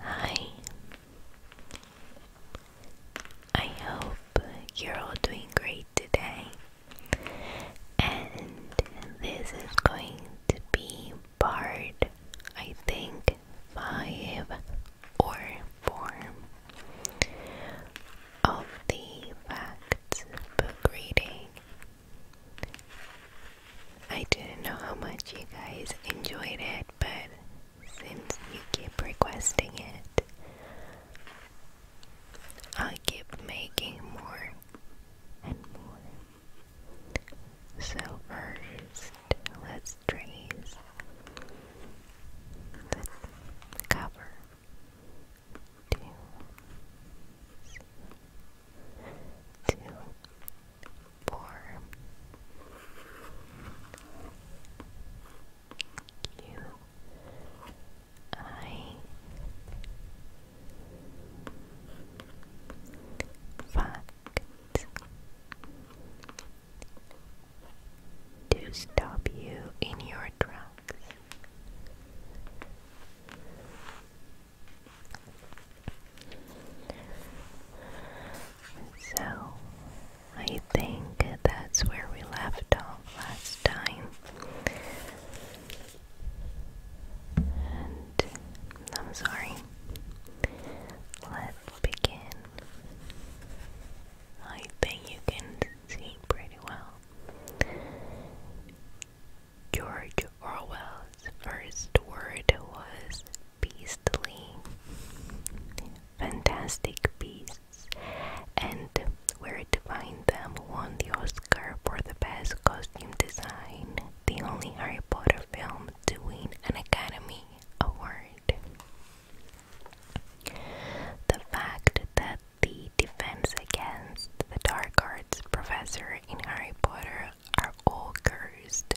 Hi, I hope you're all doing great today, and this is going to be part, I think, five or four of the facts book I didn't know how much you guys enjoyed it, but since you keep requesting it, I'll keep making more and more. So, first, let's trace the cover. Two, two, four. Q I fact to stop you in your tracks. So, I think that's where we left off last time. I'm sorry. Let's begin. I think you can see pretty well. George Orwell's first word was beastly. Fantastic Beasts and Where to Find Them won the Oscar for the Best Costume Design, the only Harry Potter film to win an Academy Award. The fact that the defense against the dark arts professor in Harry Potter all Cursed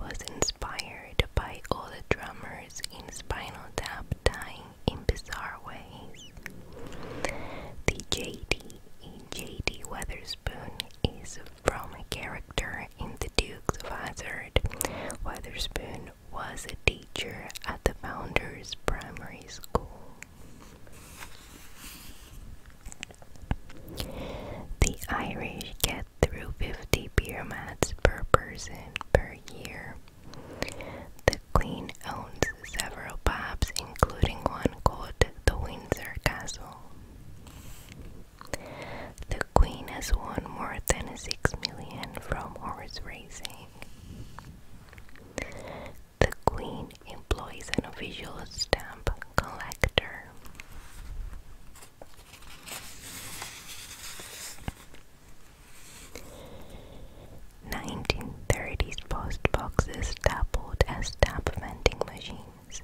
was inspired by all the drummers in Spinal Tap dying in bizarre ways. The JD in JD Weatherspoon is from a character in The Dukes of Hazzard. Weatherspoon was a teacher at the Founders Primary School. The Irish get through 50 pyramids per person per year. The Queen owns several pubs, including one called the Windsor Castle. The Queen has won more than 6 million from horse racing. The Queen Employees and official stamp collector. Nineteen thirties post boxes doubled as stamp vending machines.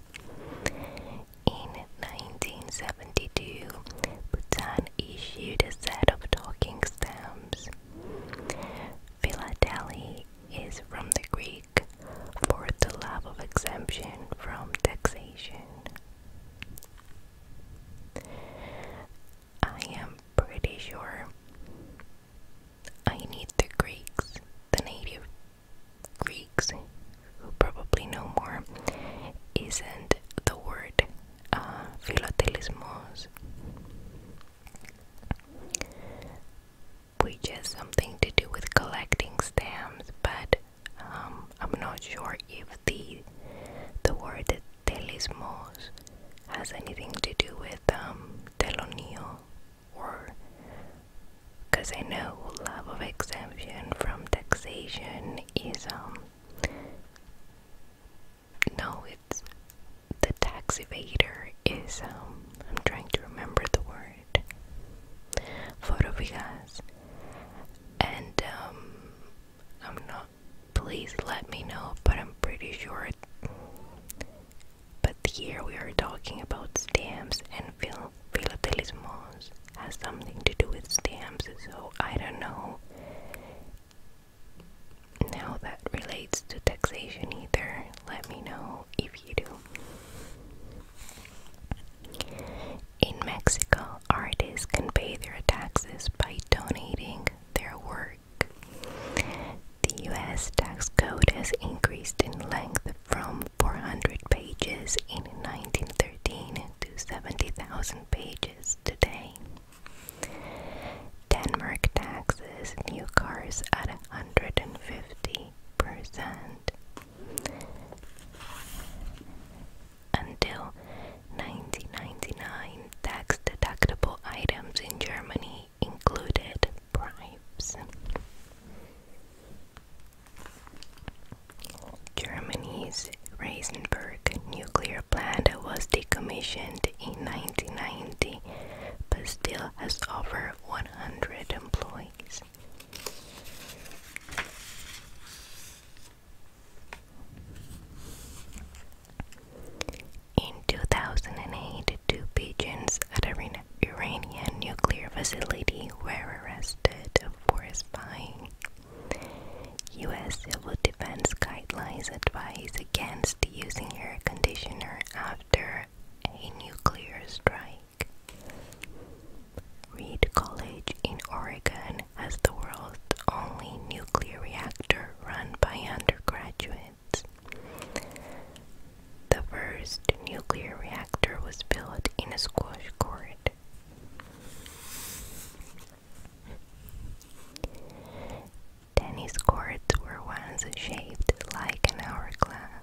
In 1972, Bhutan issued a set of talking stamps. Philately is from the Greek for the love of exemption from taxation. I am pretty sure I need the Greeks, the native Greeks, who probably know more, isn't the word uh, philatelismos which has something to do with collecting stamps, but um, I'm not sure if the the word telismos has anything to do with um, telonio, or because I know love of exemption from taxation is um no, it's the tax evader is um I'm trying to remember the word for Rubigas. And um, I'm not. Please let me know, but I'm pretty sure. But here we are talking about stamps, and phil philatelismos has something to do with stamps, so I don't know. Now that relates to taxation either. Let me know if you do. In Mexico, artists can pay their taxes by donating their work. The US tax code has increased in length from 400 pages in 1913 to 70,000 pages today. Denmark taxes new cars at 150 until 1999, tax-deductible items in Germany included bribes. Germany's Reisenberg nuclear plant was decommissioned in 1990 but still has over 100 employees. In 2008, two pigeons at an Iranian nuclear facility were arrested for spying. U.S. civil defense guidelines advise against using air conditioner after a nuclear strike unique. College in Oregon has the world's only nuclear reactor run by undergraduates. The first nuclear reactor was built in a squash court. Tennis courts were once shaped like an hourglass.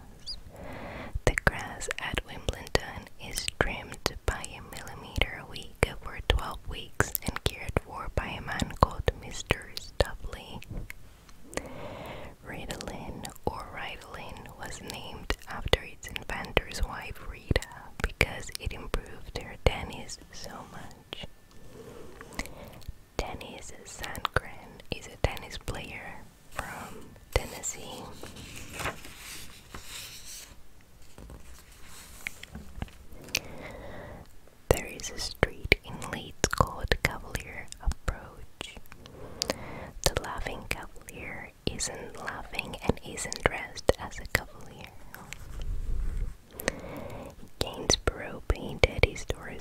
The grass at Wimbledon is trimmed by a millimeter a week over 12 weeks and cared for by a man called Mr. Stubley. Ritalin or Ritalin was named after its inventor's wife Rita because it improved her tennis so much. Dennis Sandgren is a tennis player from Tennessee. There is a street in Leeds called Cavalier Approach. The laughing cavalier isn't laughing and isn't dressed as a cavalier. Gainsborough painted his door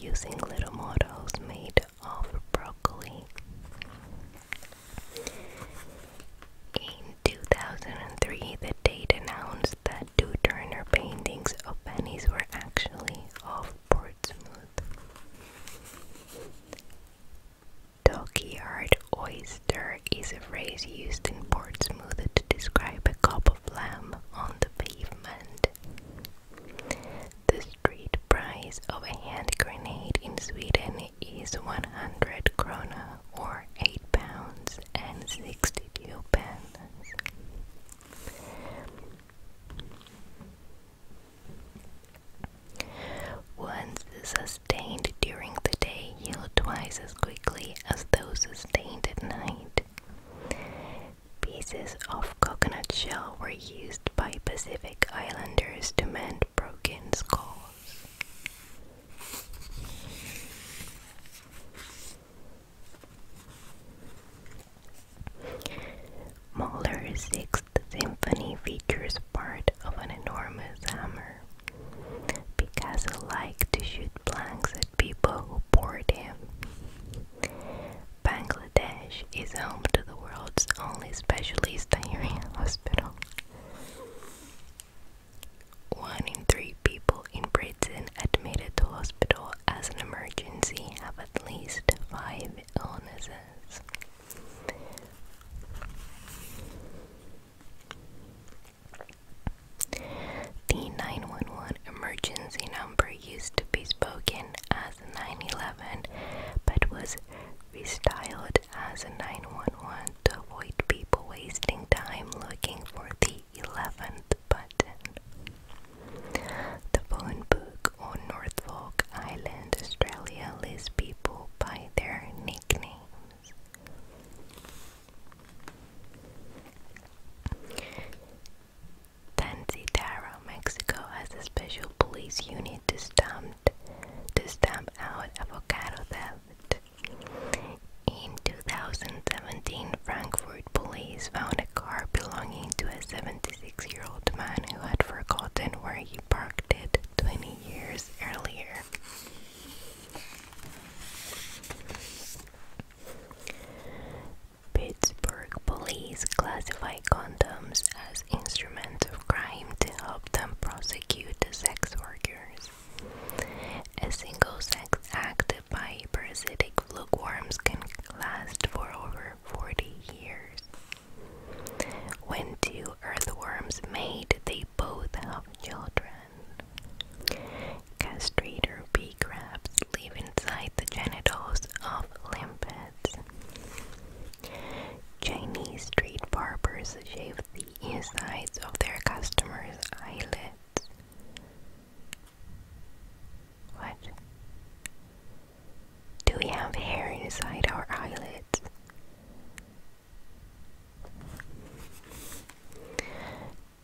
using little models made of broccoli. In 2003, the Tate announced that two Turner paintings of Fanny's were actually of Portsmouth. Dockyard oyster is a phrase used in Portsmouth to describe a cup of lamb on the pavement. The street price of a hand grenade in Sweden is 100 krona or 8 pounds and sixty pence. Ones sustained during the day heal twice as quickly as those sustained at night. Pieces of coconut shell were used by Pacific Islanders to mend broken skulls. Mahler's Sixth Symphony features part of an enormous hammer. Picasso liked to shoot blanks at people who bored him. Bangladesh is home to the world's only specialist diarrhea hospital. One in three people in Britain admitted to hospital as an emergency have at least five illnesses. The 911 emergency number used to be spoken as as 911 but was restyled as a 911 to avoid people wasting time looking for the 11th button. The phone book on Norfolk Island, Australia lists people by their nicknames. Tensitaro, Mexico has a special police unit to stamp, to stamp out avocado theft. In 2017, Frankfurt police found a car belonging to a 76 year old man who had forgotten where he parked it 20 years earlier. Pittsburgh police classify condoms as instruments of crime to help them prosecute sex workers. A single sex act by parasitic lugworms can last for over 40 years. When two earthworms mate, they both have children. Castrator bee crabs live inside the genitals of limpets. Chinese street barbers shave the insides of their customers' eyelids. What? Do we have hair inside our eyelids?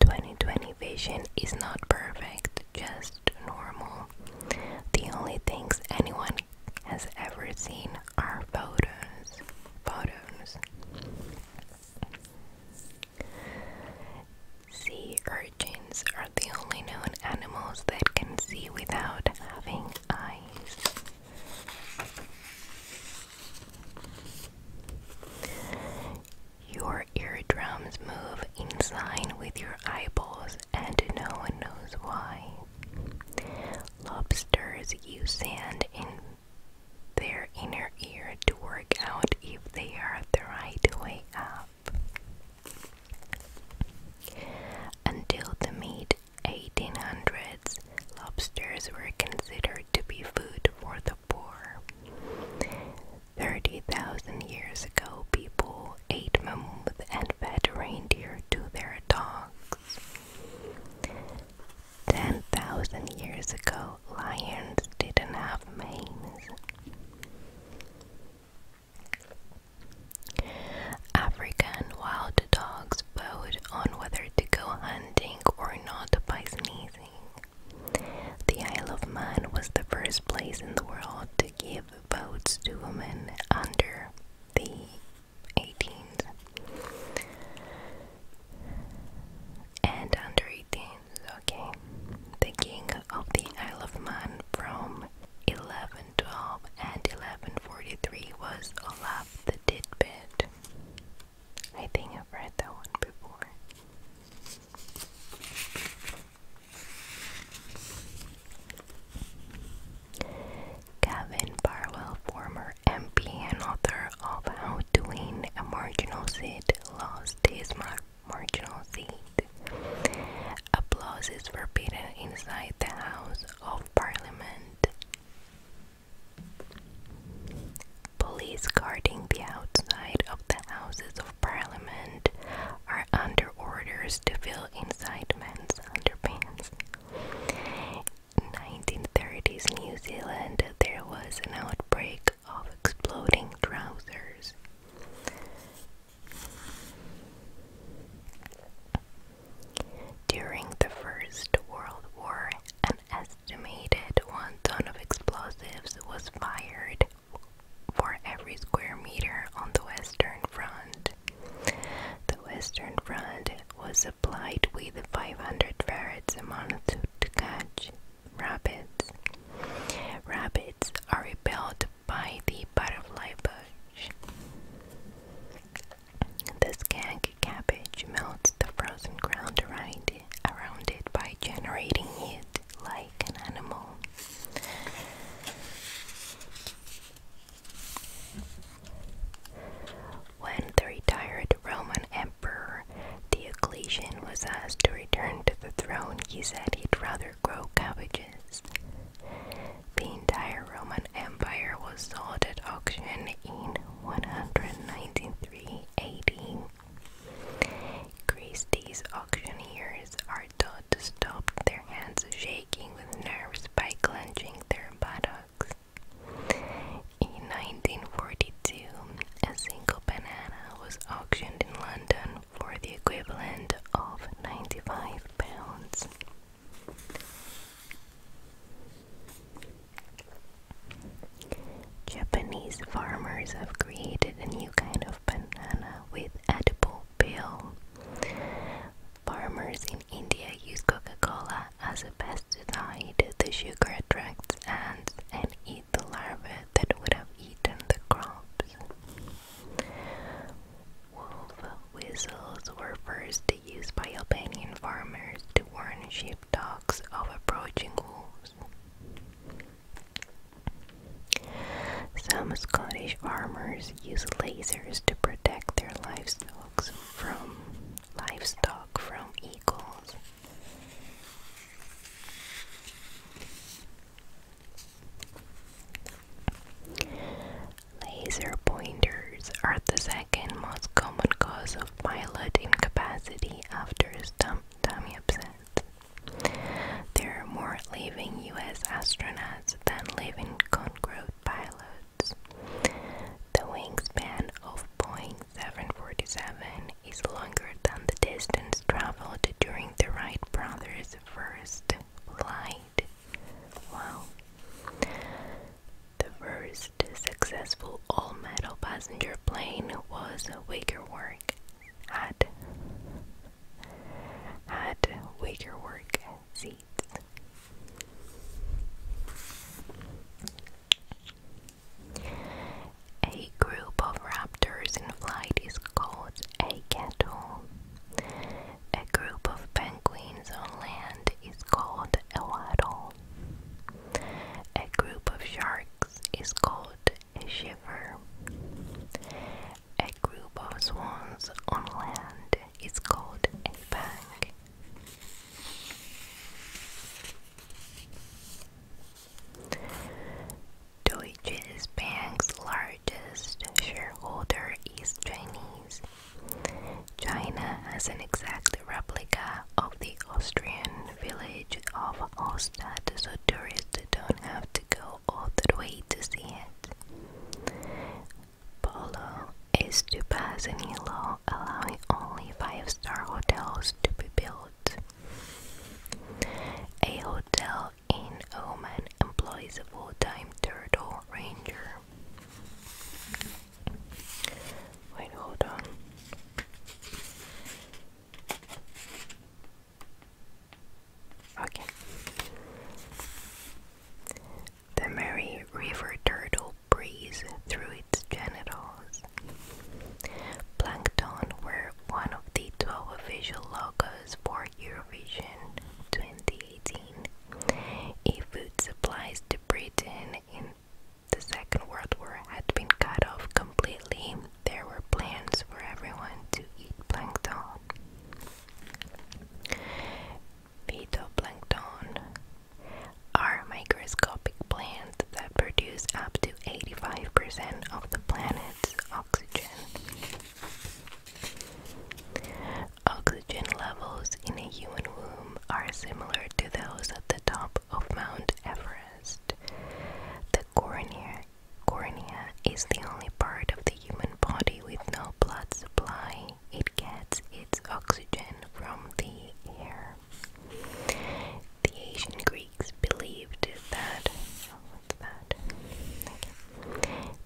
Twenty twenty vision is not perfect, just normal. The only things anyone has ever seen are photos. Photos. Sea urchins are the only known animals that can see without having eyes. Your eardrums move in sign with your eyeballs, and no one knows why. Lobsters use sand in their inner ear to work out if they are the right way up. Until the mid 1800s, lobsters were considered to be food for the poor. 30,000 years ago, people ate mammoth and fed reindeer to their dogs. 10,000 years ago, lions didn't have manes. African wild dogs vote on whether to go hunting or not by sneezing. The Isle of Man was the first place in the world to give give votes to women under the 18th and under 18th, okay. The king of the Isle of Man from 1112 and 1143 was Olaf the Tidbit. I think I've read that one before. Gavin Barwell, former MP and author of How Doing a Marginal Seat Lost His Marginal Seat, applause is forbidden inside the House of Parliament. Police guarding the outside of the Houses of Parliament are under order first to feel inside men's underpants. 1930s New Zealand, there was an outbreak of exploding trousers. During the First World War, an estimated one ton of explosives was fired for every square meter on the Western Front. The Western Front was supplied with 500 ferrets and month to catch rabbits. Rabbits are repelled by the butterfly bush. The skag cabbage melts the frozen ground around it by generating heat like an animal. When the retired Roman emperor Diocletian was asked to return to the throne, he said he'd rather grow cabbages. The entire Roman Empire was sold at auction in 193 AD. Christie's auctioneers are taught to stop their hands shaking with nerves by clenching their buttocks. In 1942, a single banana was auctioned in London for the equivalent of 95 pounds. Japanese farmers have created a new kind of banana with edible pill. Farmers in India use Coca-Cola as a pesticide. The sugar attracts ants and eat the larvae that would have eaten the crops. Wolf whistles were first used by Albanian farmers to warn sheepdogs of approaching wolves. Some Scottish farmers use lasers to protect their livestock from livestock from eagles. Laser pointers are the second most common cause of pilot incapacity after stomach upsets. There are more living US astronauts than living Concorde pilots. The wingspan of Boeing 747 is longer than the distance traveled during the Wright brothers' first flight. Wow. The first successful all metal passenger plane was Wicker Work at had wager work seats. A group of raptors in flight is called a kettle. A group of penguins on land is called a wattle. A group of sharks is called a shiver. A group of swans on land is called a bank. Deutsche Bank's largest shareholder is Chinese. China has an exact replica of the Austrian village of Hallstatt, so tourists don't have to go all the way to see it. Polo is to pass a new law allowing only five star hotels to be built. A hotel in Oman employs a full time turtle ranger. Wait, hold on. Okay. The Murray River turtle breathes through its genitals. Plankton were one of the 12 official logos for Eurovision 2018. If food supplies to Britain in the Second World War had been cut off completely, there were plans for everyone to eat plankton. Phytoplankton are microscopic plants that produce up to 85% of the planet's oxygen. Oxygen levels in a human womb are similar to those at the top of Mount Everest. The cornea Cornea is the only part of the human body with no blood supply. It gets its oxygen from the air. The ancient Greeks believed that. what's that?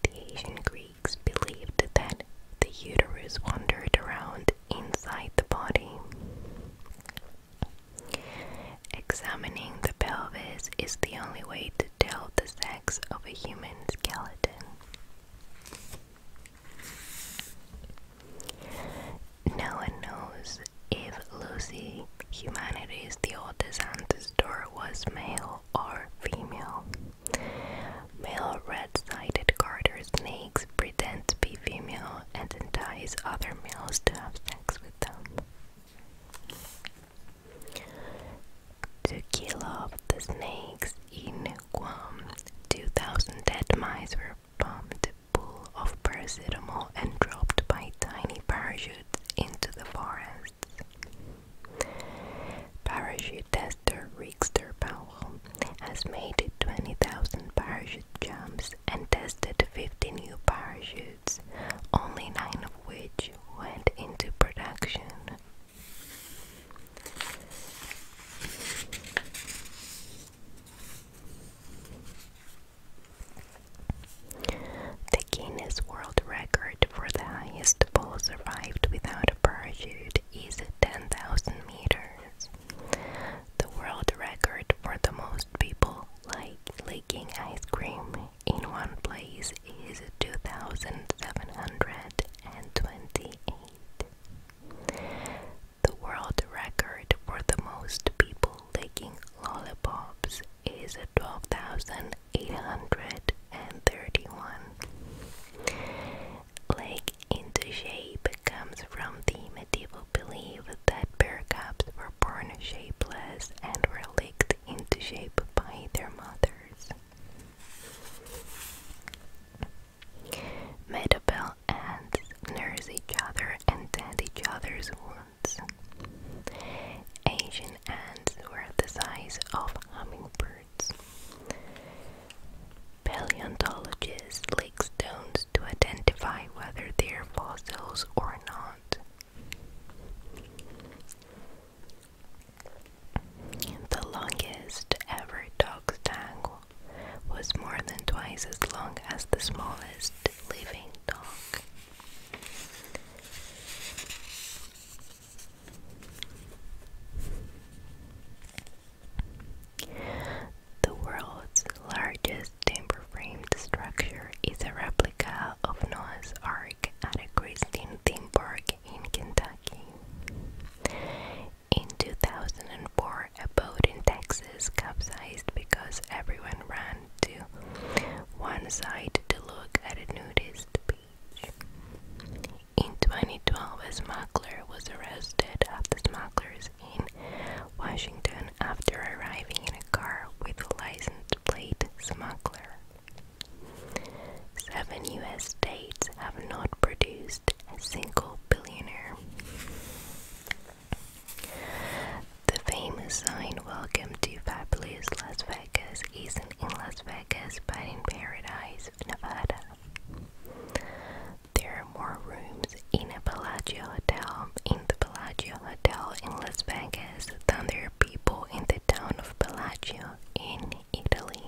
The ancient Greeks believed that the uterus wandered around inside the body. Examining the pelvis is the only way to tell the sex of a human skeleton. No one knows if Lucy, humanity's the oldest ancestor, was male or female. Male red-sided garter snakes pretend to be female and entice other males to have sex with them to kill off the snakes in Guam. 2,000 dead mice were pumped full of paracetamol and dropped by tiny parachutes into the forests. Parachute tester Rickster Powell has made 20,000 parachute jumps and tested 50 new parachutes only nine of which went into production. The Guinness World Record for the highest fall survived without a parachute is 10,000 meters. The world record for the most people like licking ice cream in one place is 2,728. The world record for the most people licking lollipops is 12,831. Leg into shape comes from the medieval belief that bear cubs were born shapeless and were licked into shape by their mothers. Metabel ants nurse each other and tend each other's wounds. Asian ants were the size of hummingbirds. Paleontologists lick stones to identify whether they are fossils or not. The longest ever dog's tongue was more than twice as long as the smallest living dog. The world's largest timber framed structure is a replica of Noah's Ark at a Christian theme park in Kentucky. In 2004, a boat in Texas capsized because everyone ran to one side to look at a nudist beach. In 2012, a smuggler was arrested after smugglers in Washington after arriving in a car with a license plate smuggler. Seven US states have not produced a single billionaire. The famous sign Welcome to Fabulous Las Vegas isn't in Las Vegas but in Paradise, Nevada. There are more rooms in a Bellagio hotel in the Bellagio in Las Vegas than there are people in the town of Bellagio in Italy.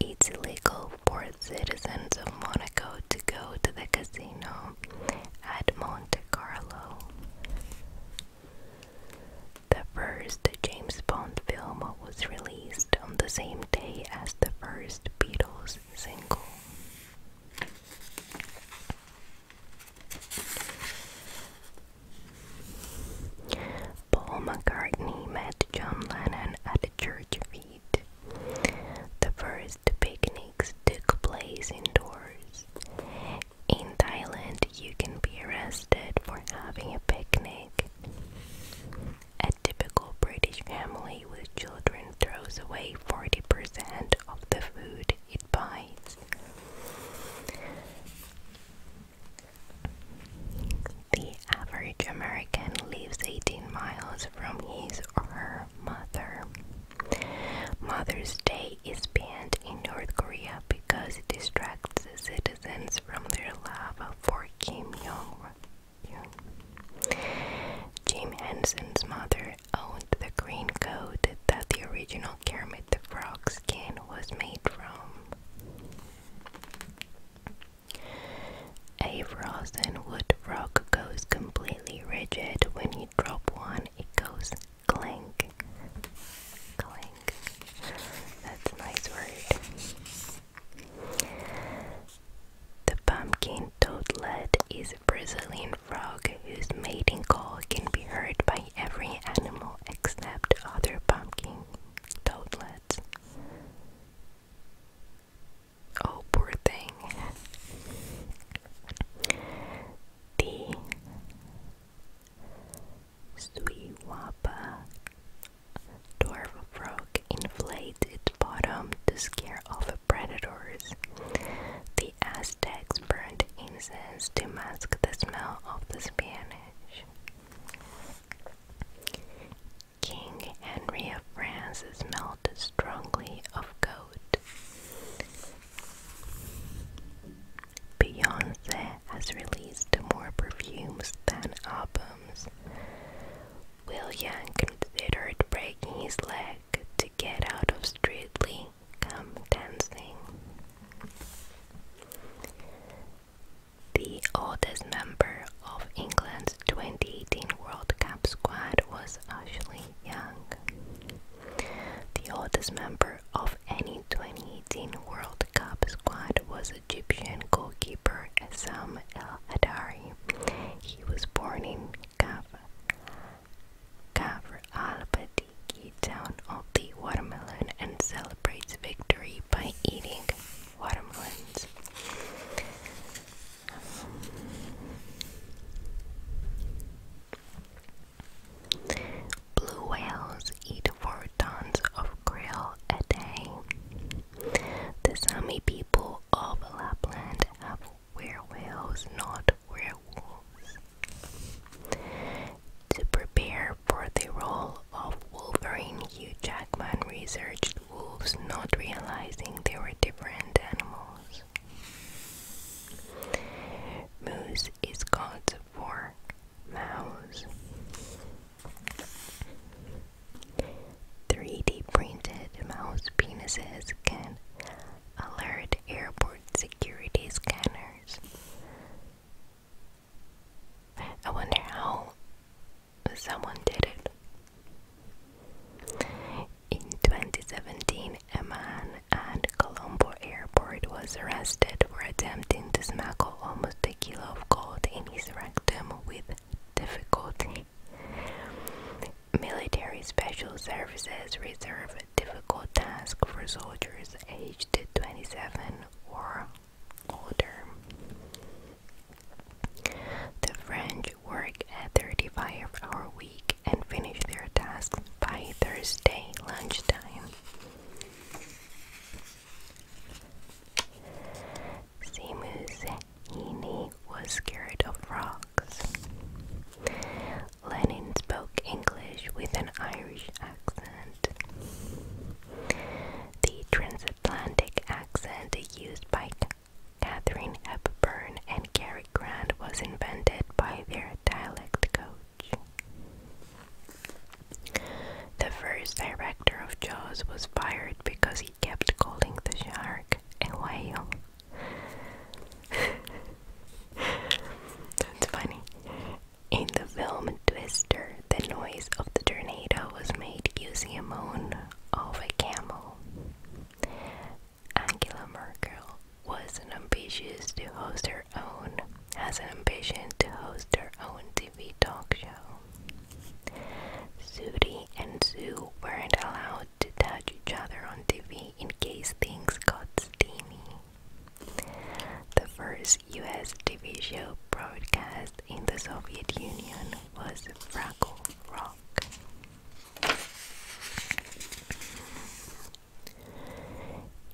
It's illegal for citizens of Monaco to go to the casino at Monte Carlo. The first James Bond film was released on the same day as the first Beatles single. Paul McCartney met John Lennon at a church feed. The first picnics took place indoors. In Thailand, you can be arrested for having a picnic. A typical British family with children throws away 40% of the food it bites. The average American lives 18 miles from his or her mother. Mother's Day is banned in North Korea because it distracts the citizens from their love for Kim Jong-un. Jim Henson's mother owned the green coat that the original original the Frog skin was made from. A frozen wood frog goes completely rigid. When you drop one, it goes clank. Clank. That's a nice word. The pumpkin toadlet is a Brazilian frog whose mating call can be heard by every animal except other pumpkin toadlets. Oh, poor thing. The Suiwapa dwarf frog inflates its bottom to scare off predators. The the Aztecs burned incense to mask the smell of the Spanish. King Henry of France smelled strongly of goat. Beyonce has released more perfumes than albums. Will considered breaking his leg to get out of Streetly. The oldest member of England's 2018 World Cup squad was Ashley Young. The oldest member of any 2018 World Cup squad was Egyptian goalkeeper Sam El Adari. He was born in Kaf Gavr al-Badiki down all the watermelon and celebrates victory by eating watermelons. blue whales eat four tons of krill a day. The Sami people of Lapland have werewhales, not werewolves. To prepare for the role of Wolverine, Hugh Jackman researched wolves, not realizing they were different animals. Moose is God's for mouse. 3D printed mouse penises can alert airport security scanners. I wonder how someone did it. In 2017, a man at Colombo Airport was arrested for attempting to smuggle almost a kilo of gold in his rectum with difficulty. Military Special Services reserve a difficult task for soldiers aged 27 or older. The French work a 35 hour week and finish their tasks by Thursday lunchtime. Seamus Heaney was scared of frogs. Lenin spoke English with an Irish accent. The transatlantic accent used by Katharine Hepburn and Cary Grant was invented by their dialect coach. The first director of Jaws was fired because he kept calling the shark a whale. That's funny. In the film Twister, the noise of the tornado was made using a moan of a camel. Angela Merkel was an ambitious to host her own has an ambition to host her own TV talk show. Sudi and Sue weren't allowed to touch each other on TV in case things got steamy. The first US TV broadcast in the Soviet Union was Fraggle Rock.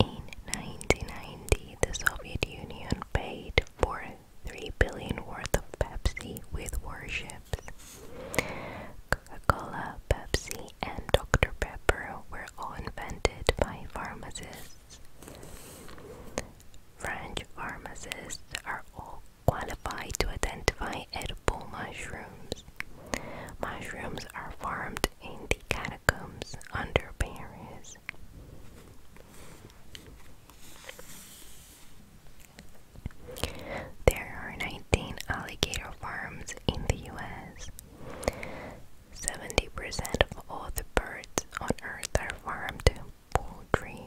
In 1990, the Soviet Union paid for 3 billion worth of Pepsi with warships. Coca-Cola, Pepsi, and Dr. Pepper were all invented by pharmacists. French pharmacists are all qualified to identify edible mushrooms. Mushrooms are farmed in the catacombs under Paris. There are 19 alligator farms in the US. 70% of all the birds on earth are farmed poultry.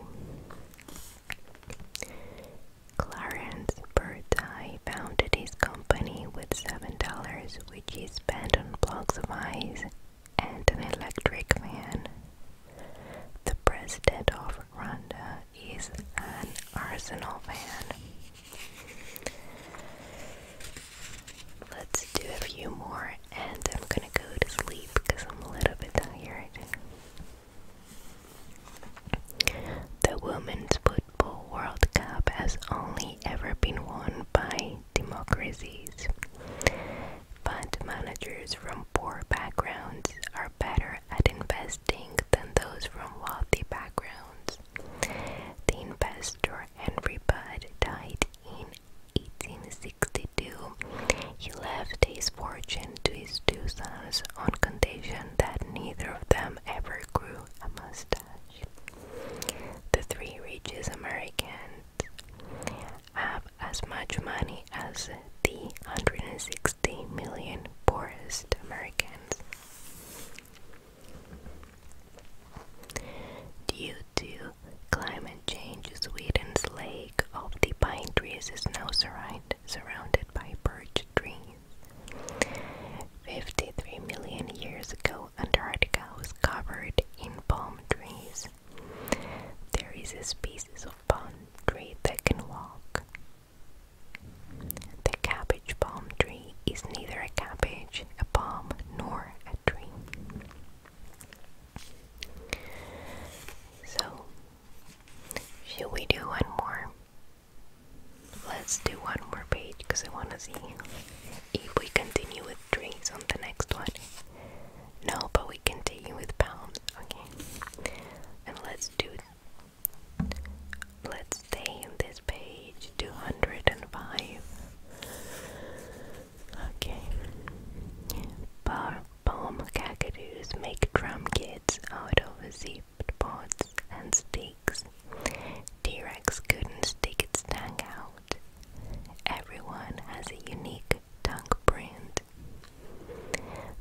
Clarence Birdseye founded his company with $7, which he spent on blocks of ice and an electric fan. The president of Rwanda is an Arsenal fan. Let's do a few more and I'm gonna go to sleep because I'm a little bit tired. The Women's Football World Cup has only ever been won by democracies, but managers from poor backgrounds are better at investing than those from wealthy backgrounds. The investor Henry Budd died in 1862. He left his fortune to his two sons on condition that neither of them ever grew a mustache. The three richest Americans have as much money as the 160 million poorest Americans. Due to climate change, Sweden's lake of the pine trees is now surrounded by birch trees. 53 million years ago, Antarctica was covered in palm trees. There is a species of palm tree that can walk. The cap cabbage palm tree is neither a cabbage, a palm, nor a tree. So, should we do one more? Let's do one more page because I want to see if we continue with trees on the next one. No, but we continue with palms, okay? And let's do. Let's stay in this page 205. Okay. Bar bomb cacadus make drum kits out of zipped pots and sticks. T Rex couldn't stick its tongue out. Everyone has a unique tongue print.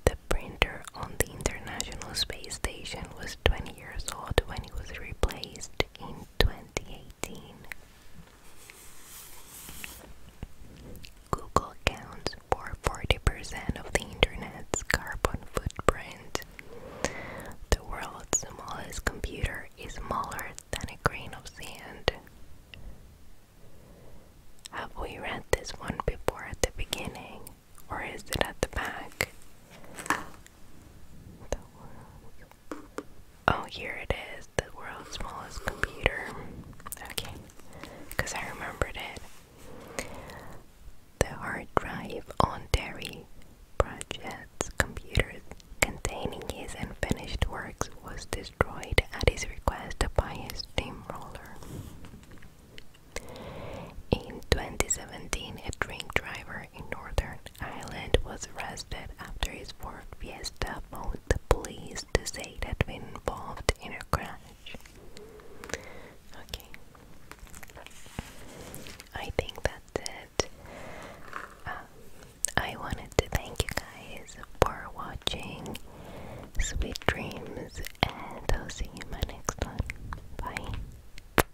The printer on the International Space Station was 20 years old when it was replaced in 2018. Google accounts for 40% of the internet's carbon footprint. The world's smallest computer is smaller than a grain of sand. Have we read this one before at the beginning, or is it at the back? Oh, here it is. The world's smallest computer. Okay, because I remembered it. The hard drive on Terry Pratchett's computer containing his unfinished works was destroyed at his request by his steamroller. In 2017, a drink driver in Northern Ireland was arrested after his fourth Fiesta phoned the police to say that had been involved in a crash. Okay. I think that's it. Um, I wanted to thank you guys for watching. Sweet dreams, and I'll see you in my next one. Bye.